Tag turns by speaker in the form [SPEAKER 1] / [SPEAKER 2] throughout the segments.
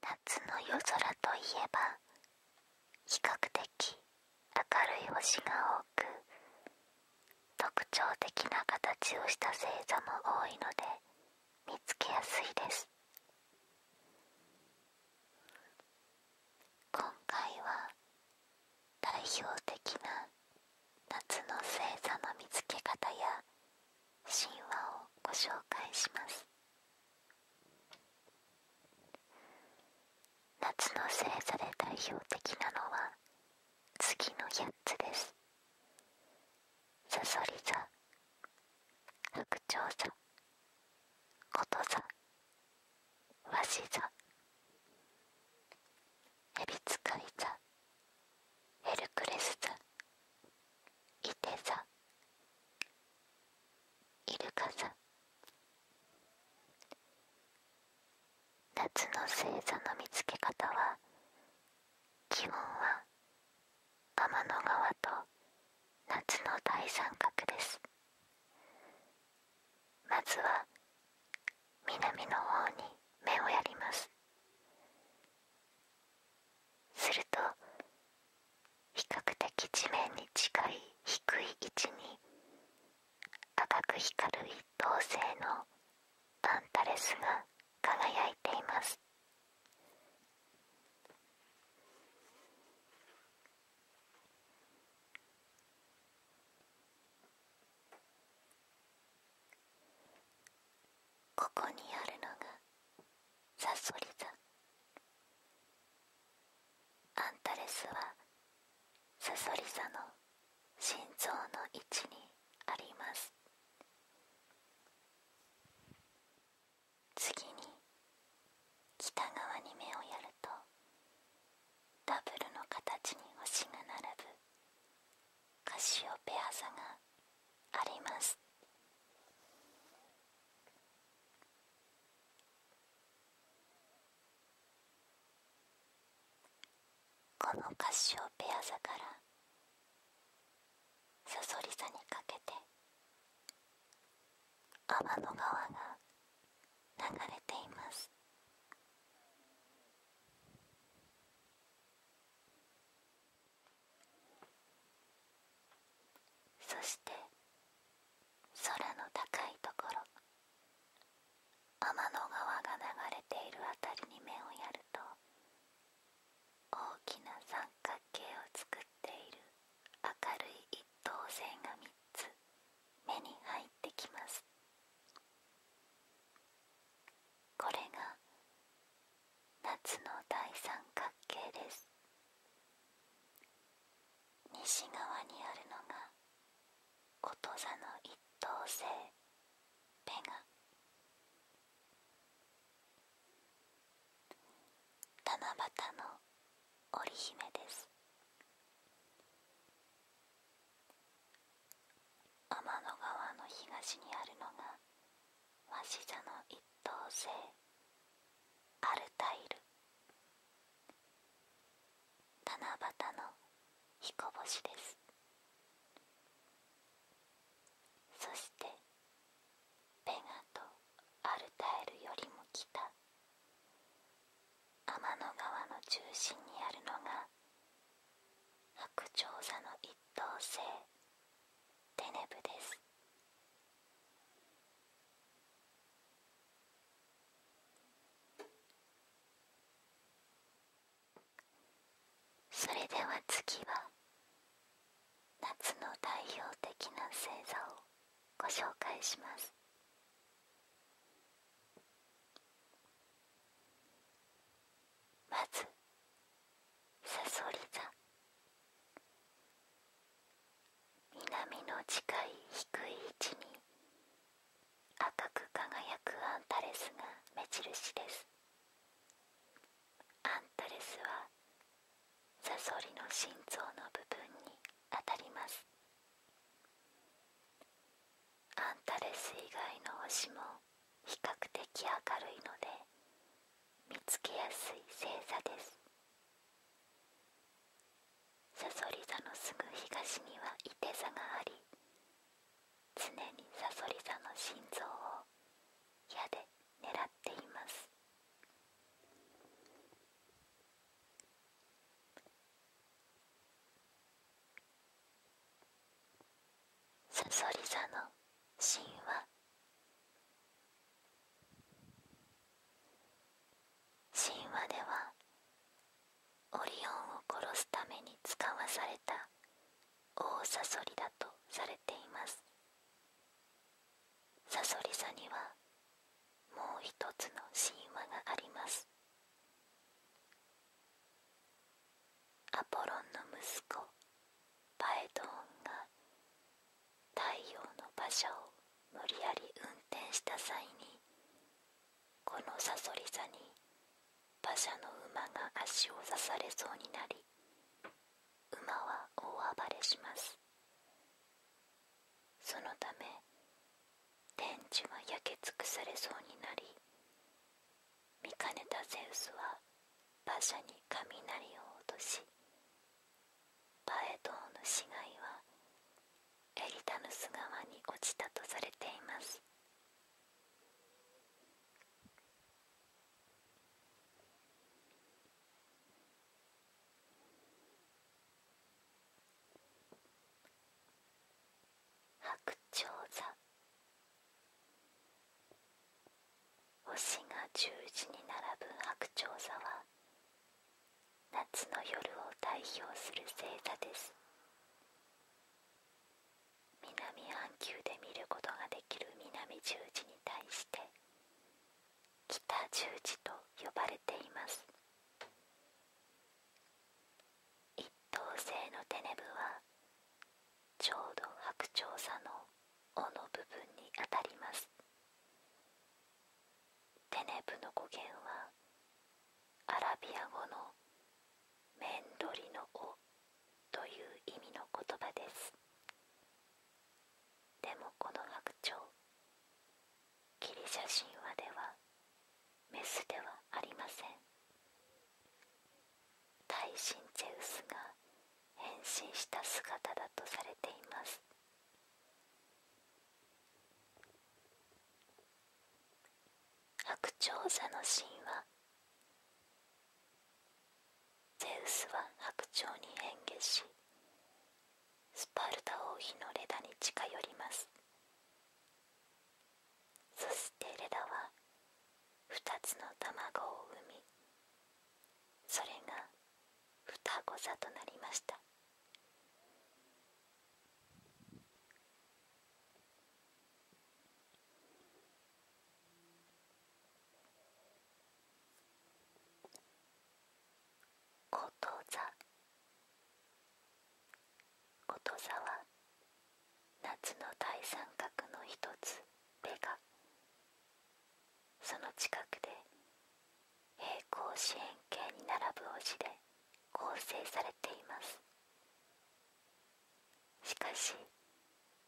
[SPEAKER 1] 夏の夜空といえば比較的明るい星が多く特徴的な形をした星座も多いので見つけやすいです今回は代表的な夏の星座の見つけ方や神話をご紹介します夏の星座で代表的なのは次の8つですさそり座白鳥座こと座わし座ヘビ使い座エルクレス座イテ座イルカ座夏の星座の見つけ方は基本は天の川と夏の大三角ですまずは南の方に目をやりますすると比較的地面に近い低い位置に赤く光る一等星のパンタレスが輝いていますここにあるのがサソリ座アンタレスはサソリ座の心臓の位置にあります次に北側に目をやるとダブルの形に星が並ぶカシオペア座がありますこのカシオペア座からサソリ座にかけて天の川が流れていますそして空の高いところ天の川が流れている辺りに目をやると大きな三角形を作っている明るい一等星が3つ目に入ってきますこれが夏の大三角形です西側にあるのがこと座の一等星ペガ七夕の織姫です天の川の東にあるのが鷲座の一等星アルタイル七夕の彦星ですそしてペガとアルタイルよりも北天の川の中心にあるのが白鳥座の一一等星テネブですそれでは次は夏の代表的な星座をご紹介しますまずさそり座南の近い低い位置に赤く輝くアンタレスが目印ですアンタレスはサソリの心臓の部分にあたりますアンタレス以外の星も比較的明るいので見つけやすい星座ですさそり座のすぐ東にはいて座があり常にさそり座の心臓を矢で狙っていますさそり座の神話神話ではオリオンを殺すために使わされた大さそりだとされていますサソリ座にはもう一つの神話がありますアポロンの息子パエドンが太陽の馬車を無理やり運転した際にこのさそり座に馬車の馬が足を刺されそうになり馬は大暴れしますそのため天地は焼け尽くされそうになり見かねたゼウスは馬車に雷を落としパエドウの死骸はエリタヌス川に落ちたとされています白鳥座星が十字に並ぶ白鳥座は夏の夜を代表する星座です南半球で見ることができる南十字に対して北十字と呼ばれています一等星のテネブはちょうど白鳥座の尾の部分にあたりますテネブの語源はアラビア語の「面取りの尾」という意味の言葉ですでもこの白鳥ギリシャ神話ではメスではありません耐震ゼウスが変身した姿だとされています白鳥座の神話ゼウスは白鳥に変化しスパルタ王妃のレダに近寄りますそしてレダは2つの卵を産みそれが双子座となりましたこと座こと座は夏の大三角の一つベガその近くで平行四辺形に並ぶ星で構成されていますしかし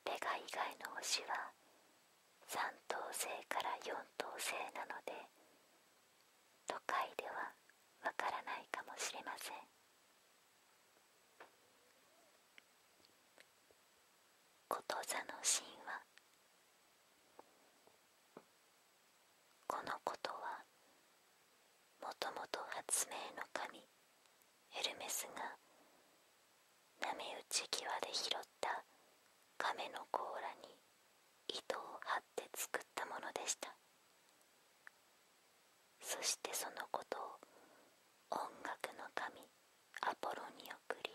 [SPEAKER 1] ベガ以外の星は3等星から4等星なので都会ではわからないかもしれませんこと座の神話このことはもともと発明の神エルメスが波打ち際で拾った亀の甲羅に糸を張って作ったものでしたそしてそのことを音楽の神アポロンに送り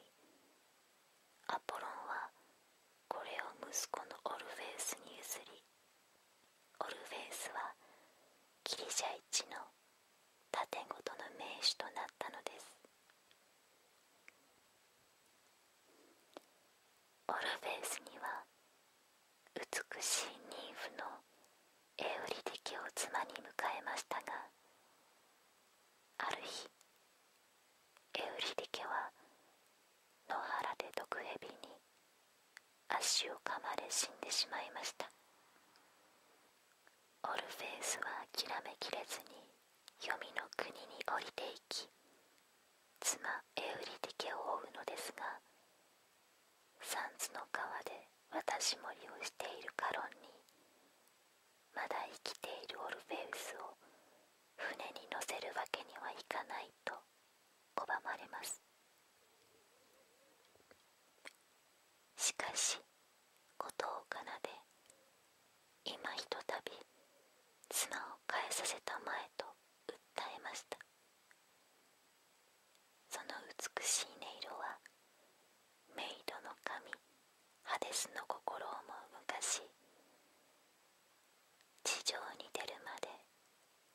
[SPEAKER 1] アポロンはこれを息子のオルフェウスに譲りオルフェウスはギリシャ一の盾ごの名手となったのですオルフェウスには美しい妊婦のエウリディケを妻に迎えましたがある日エウリディケは野原で毒蛇に足を噛まれ死んでしまいましたオルフェウスは諦めきれずに黄泉の国に降いていき妻エウリディケを追うのですがサンズの川で渡し盛りをしているカロンにまだ生きているオルフェウスを船に乗せるわけにはいかないと拒まれますしかし事を奏で今ひとたび砂を変えさせたまえと訴えましたその美しい音色はメイドの神ハデスの心をも昔地上に出るまで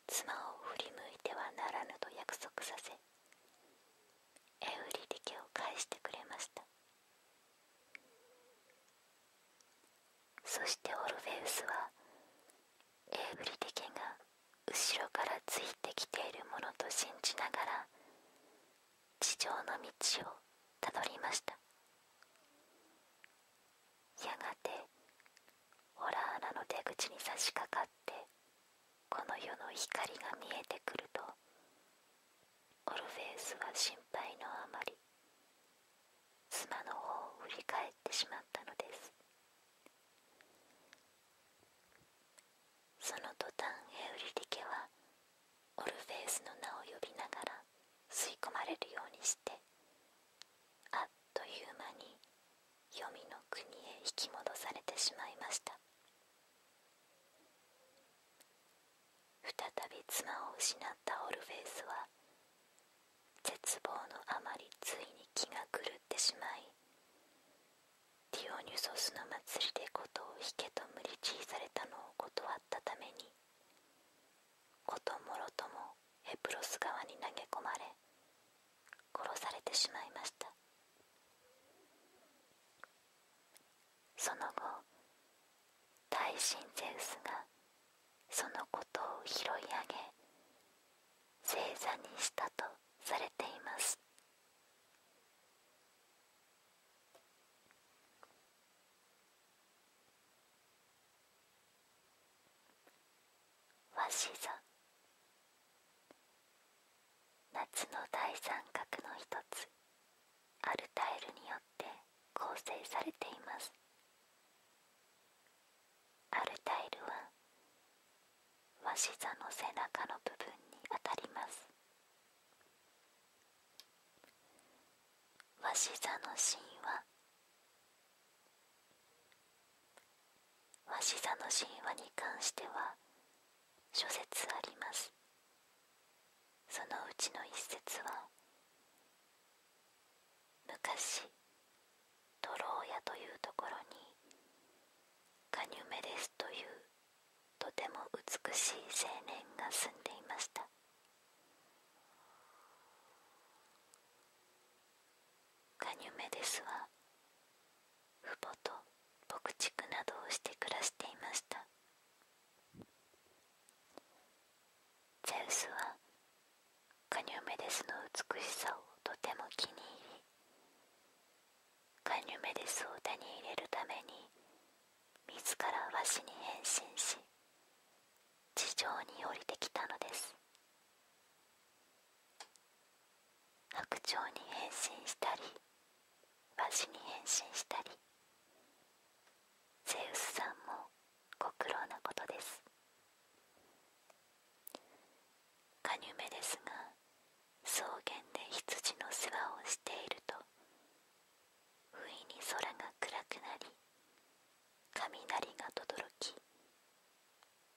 [SPEAKER 1] 妻を振り向いてはならぬと約束させエウリリケを返してくれましたそしてオルフェウスはエウリリケが後ろからついてきているものと信じながら地上の道をたどりましたやがてオラー穴の出口に差し掛かってこの世の光が見えてくるとオルフェウスは心配のあまり妻の方を振り返ってしまったのですその途端エウリリケはオルフェウスの名を呼びながら吸い込まれるようにしてあっという間に黄泉の国へ引き戻されてしまいました再び妻を失ったオルフェウスは絶望のあまりついに気が狂ってしまいディオニュソスの祭りで事を引けと無理強いされたのを断ったためにこともろともエプロス側に投げ込まれ殺されてしまいましたその後大神ゼウスがそのことを拾い上げ正座にしたとされています和紙座夏の大三角の一つアルタイルによって構成されていますアルタイルはわし座の背中の部分に当たりますわし座の芯はわし座の神話に関しては諸説ありますそのうちの一説は昔トローヤというところにカニュメデスというとても美しい青年が住んでいましたカニュメデスは父母と牧畜などをして暮らしていましたゼウスはカニューメデスの美しさをとても気に入りカニューメデスを手に入れるために自らわしに変身し地上に降りてきたのです白鳥に変身したりわしに変身したりセウスさんもご苦労なことですカニュメですが草原で羊の世話をしていると不意に空が暗くなり雷がとどろき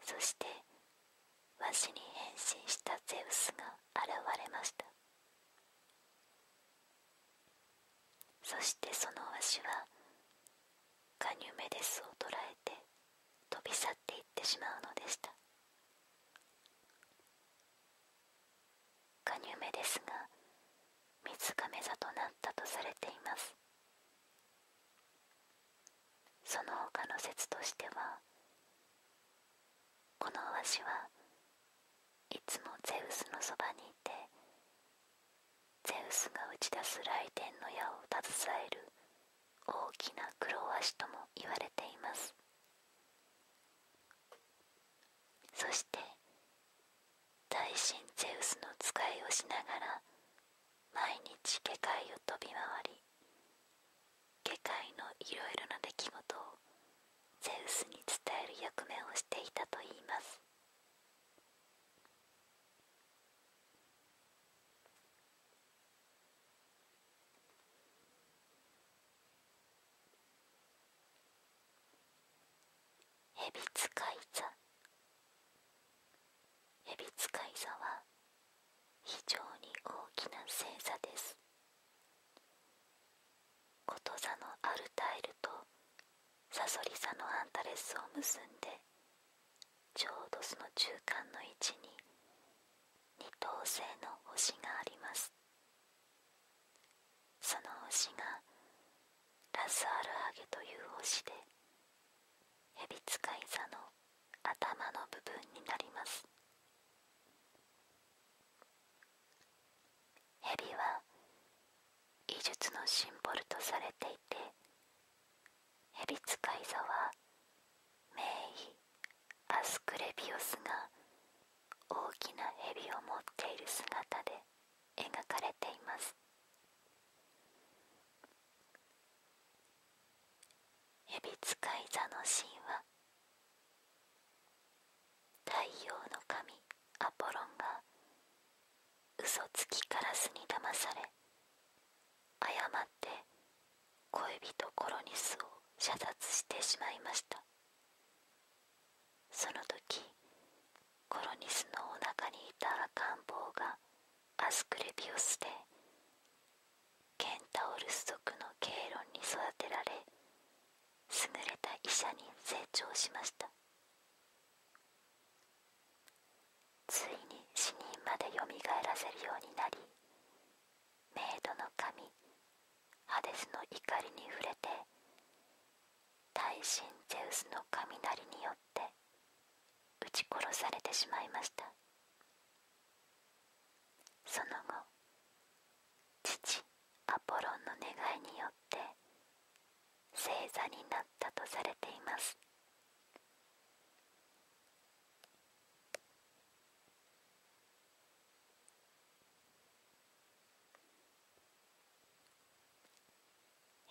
[SPEAKER 1] そしてわしに変身したゼウスが現れましたそしてそのわしはカニュメデスを捕らえて飛び去っていってしまうのでしたカニュメですが水亀座となったとされていますその他の説としてはこのわしはいつもゼウスのそばにいてゼウスが打ち出す雷電の矢を携える大きな黒鷲とも言われていますそして大神ゼウスの使いをしながら毎日下界を飛び回り下界のいろいろな出来事をゼウスに伝える役目をしていたといいます蛇使い座蛇使い座は非常に大きな星座ですこと座のアルタイルとサソリ座のアンタレスを結んでちょうどその中間の位置に二等星の星がありますその星がラスアルハゲという星で蛇使い座の頭の部分になります蛇は技術のシンボルとされていて蛇使い座は名医アスクレビオスが大きな蛇を持っている姿で描かれています蛇使い座の神は、太陽の神アポロンが嘘つきカラスに騙され誤って恋人コロニスを射殺してしまいましたその時コロニスのお腹にいた赤ん坊がアスクレピオスでケンタオルス族のケイロンに育てられ優れた医者に成長しましたついに死人までよみがえらせるようになりメイドの神ハデスの怒りに触れて大神ゼウスの雷によって撃ち殺されてしまいましたその後父アポロンの願いによって星座になったとされています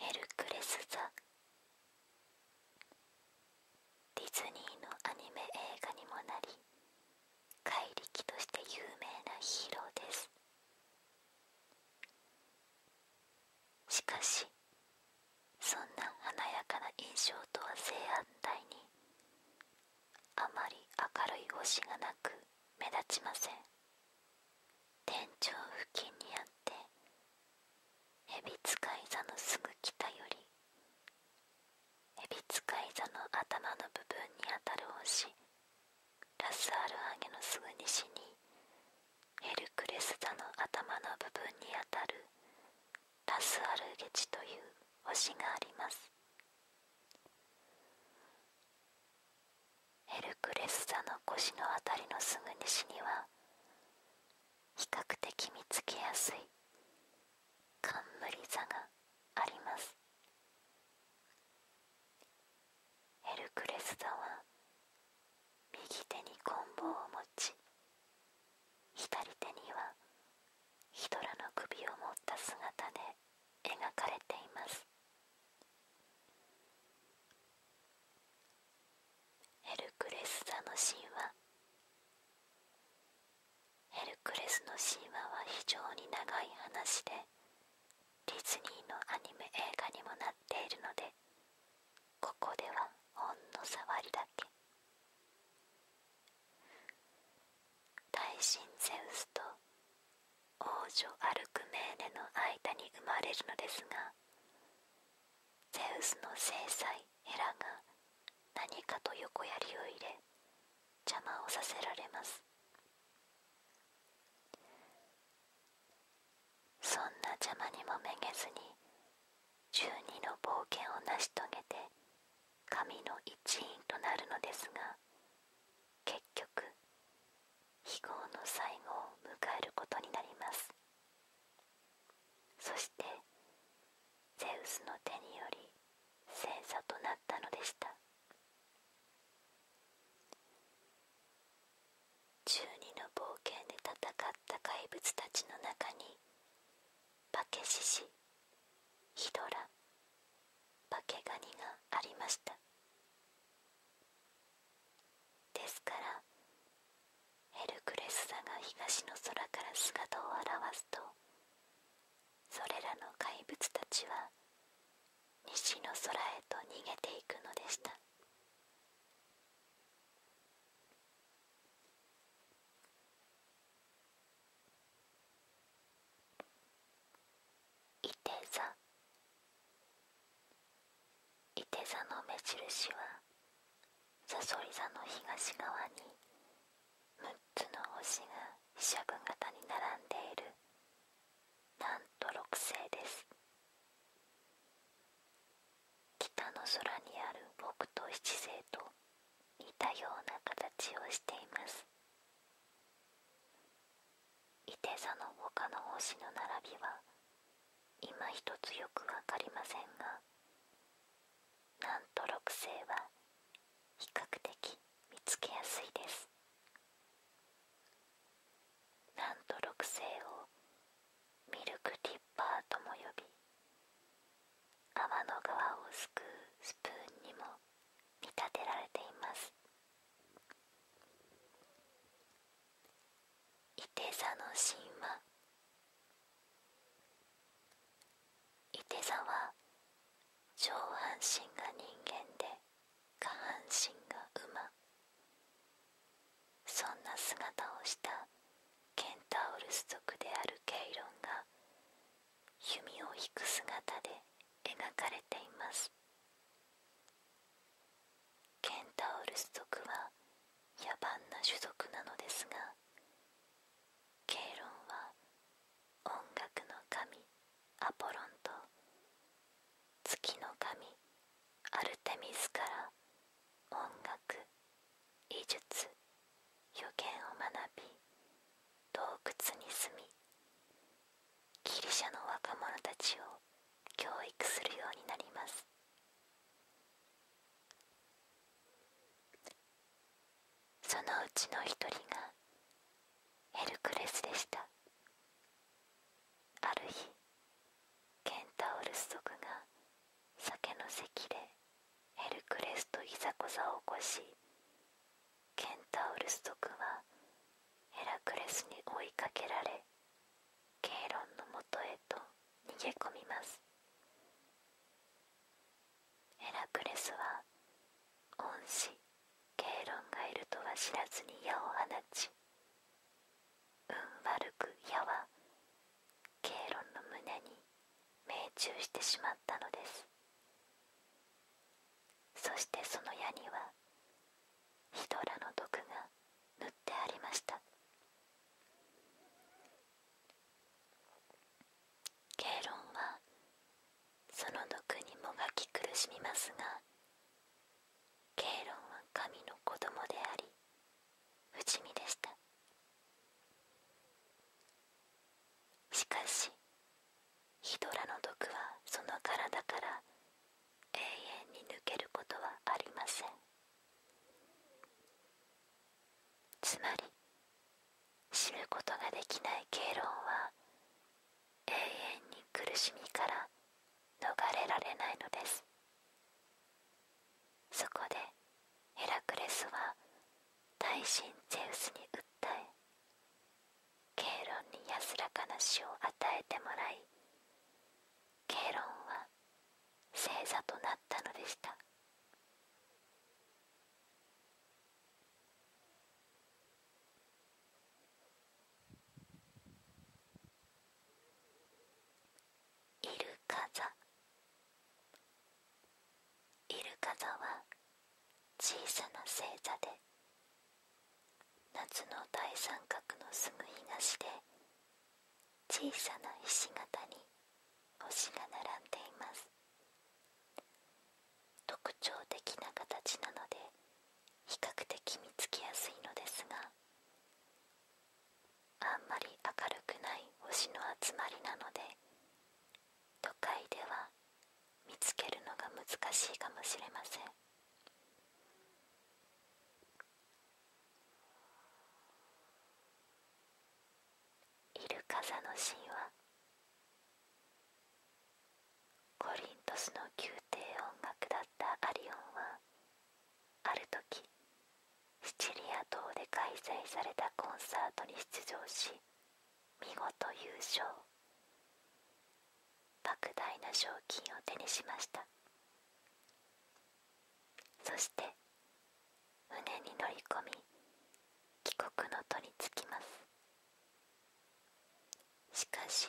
[SPEAKER 1] エルクレス・ザ・ディズニーのアニメ映画にもなり怪力として有名なヒーローですしかしそんな華やかな印象とは正反対にあまり明るい星がなく目立ちません天井付近にあってエビ使い座のすぐ北よりエビ使い座の頭の部分にあたる星ラスアルアゲのすぐ西にエルクレス座の頭の部分にあたるタスアルゲチという星がありますヘルクレス座の腰のあたりのすぐ西には比較的見つけやすい冠座がありますエルクレス座は右手に棍棒を持ち左手にはヒトラの首を持った姿で描かれていますエルクレス座の神話エルクレスの神話は非常に長い話でディズニーのアニメ映画にもなっているのでここではほんの触りだけ大神ゼウスと王女アルクメーネの間に生まれるのですがゼウスの正妻エラが何かと横やりを入れ邪魔をさせられますそんな邪魔にもめげずに1。2の冒険を成し遂げて神の一員となるのですが結局非業の最後を迎えることになりますそしてゼウスの手により戦座となったのでした12の冒険で戦った怪物たちの中に化け獅子ヒドラ化けガニがありましたですからヘルクレス座が東の空から姿を現すとそれらの怪物たちは西の空へと逃げていくのでしたいて座いて座の目印はさそり座の東側に6つの星が飛車部型に並んでいるなんと6星です北の空にある北斗七星と似たような形をしていますいて座の他の星の並びは今一つよく分かりませんがなんと六星は比較的見つけやすいですなんと六星をミルクティッパーとも呼び泡の川をすくうスプーンにも見立てられていますいて座の神話いて座は上半身が人間で下半身が馬そんな姿をしたケンタウルス族であるケイロンが弓を引く姿で描かれていますケンタウルス族は野蛮な種族なのですがケイロンは音楽の神アポロンと月の神アルテミスから音楽医術予言を学び洞窟に住みギリシャの若者たちを教育するようになりますそのうちの一人がヘルクレスでしたある日ケンタウルス族が酒の席でエルクレスといざこざを起こしケンタウルス族はエラクレスに追いかけられケイロンのもとへと逃げ込みますエラクレスは恩師ケイロンがいるとは知らずに矢を放ち運悪く矢はケイロンの胸に命中してしまったのですそしてその矢にはヒドラの毒が塗ってありましたケイロンはその毒にもがき苦しみますがケイロンは神の子供であり不死身でしたしかしヒドラの毒はその体から永遠に抜けることはありませんつまり死ぬことができないケイは永遠に苦しみから逃れられないのですそこでヘラクレスは大神ゼウスに訴えケイロンに安らかな死を与えてもらいケイロンは正座となったのでしたイルカ座イルカ座は小さな星座で夏の大三角のすぐ東で小さなひし形に星が並んでいます特徴的な形なので比較的見つけやすいのですがあんまり明るくない星の集まりなので都会では見つけるのが難しいかもしれませんイルカザの神話コリントスの宮廷音楽だったアリオンはある時シチリア島で開催されたコンサートに出場し見事優勝莫大な賞金を手にしましたそして胸に乗り込み帰国の途につきますしかし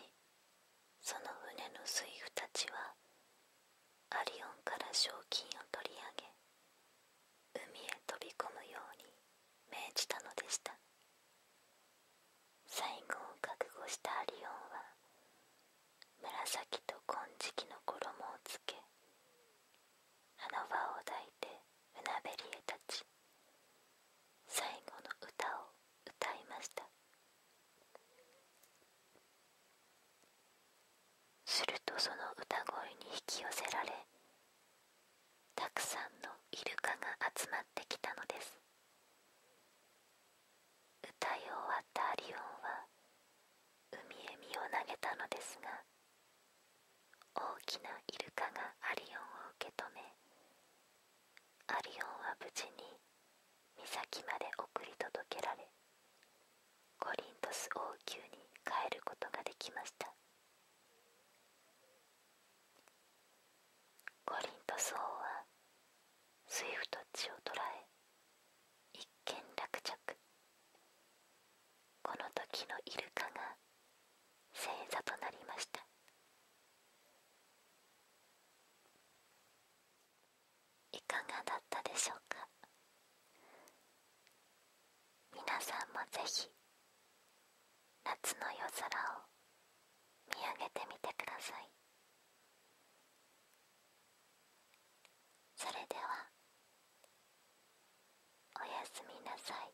[SPEAKER 1] その船の水夫たちはアリオンから賞金を取り上げ海へ飛び込むように命じたのでした最後を覚悟したアリオンは紫と金色の衣をつけ花輪を抱いて船べりへ立ち最後の歌を歌いました「するとその歌声に引き寄せられたくさんのイルカが集まってきたのです歌い終わったアリオンは海へ身を投げたのですが大きなイルカがアリオンを受け止めアリオンは無事に岬まで送り届けられコリントス王宮に帰ることができましたコリントス王はスイフト地を捕らえ一件落着この時のイルカが正座となりましたいかがだったでしょうか皆さんもぜひ夏の夜空を見上げてみてくださいそれではおやすみなさい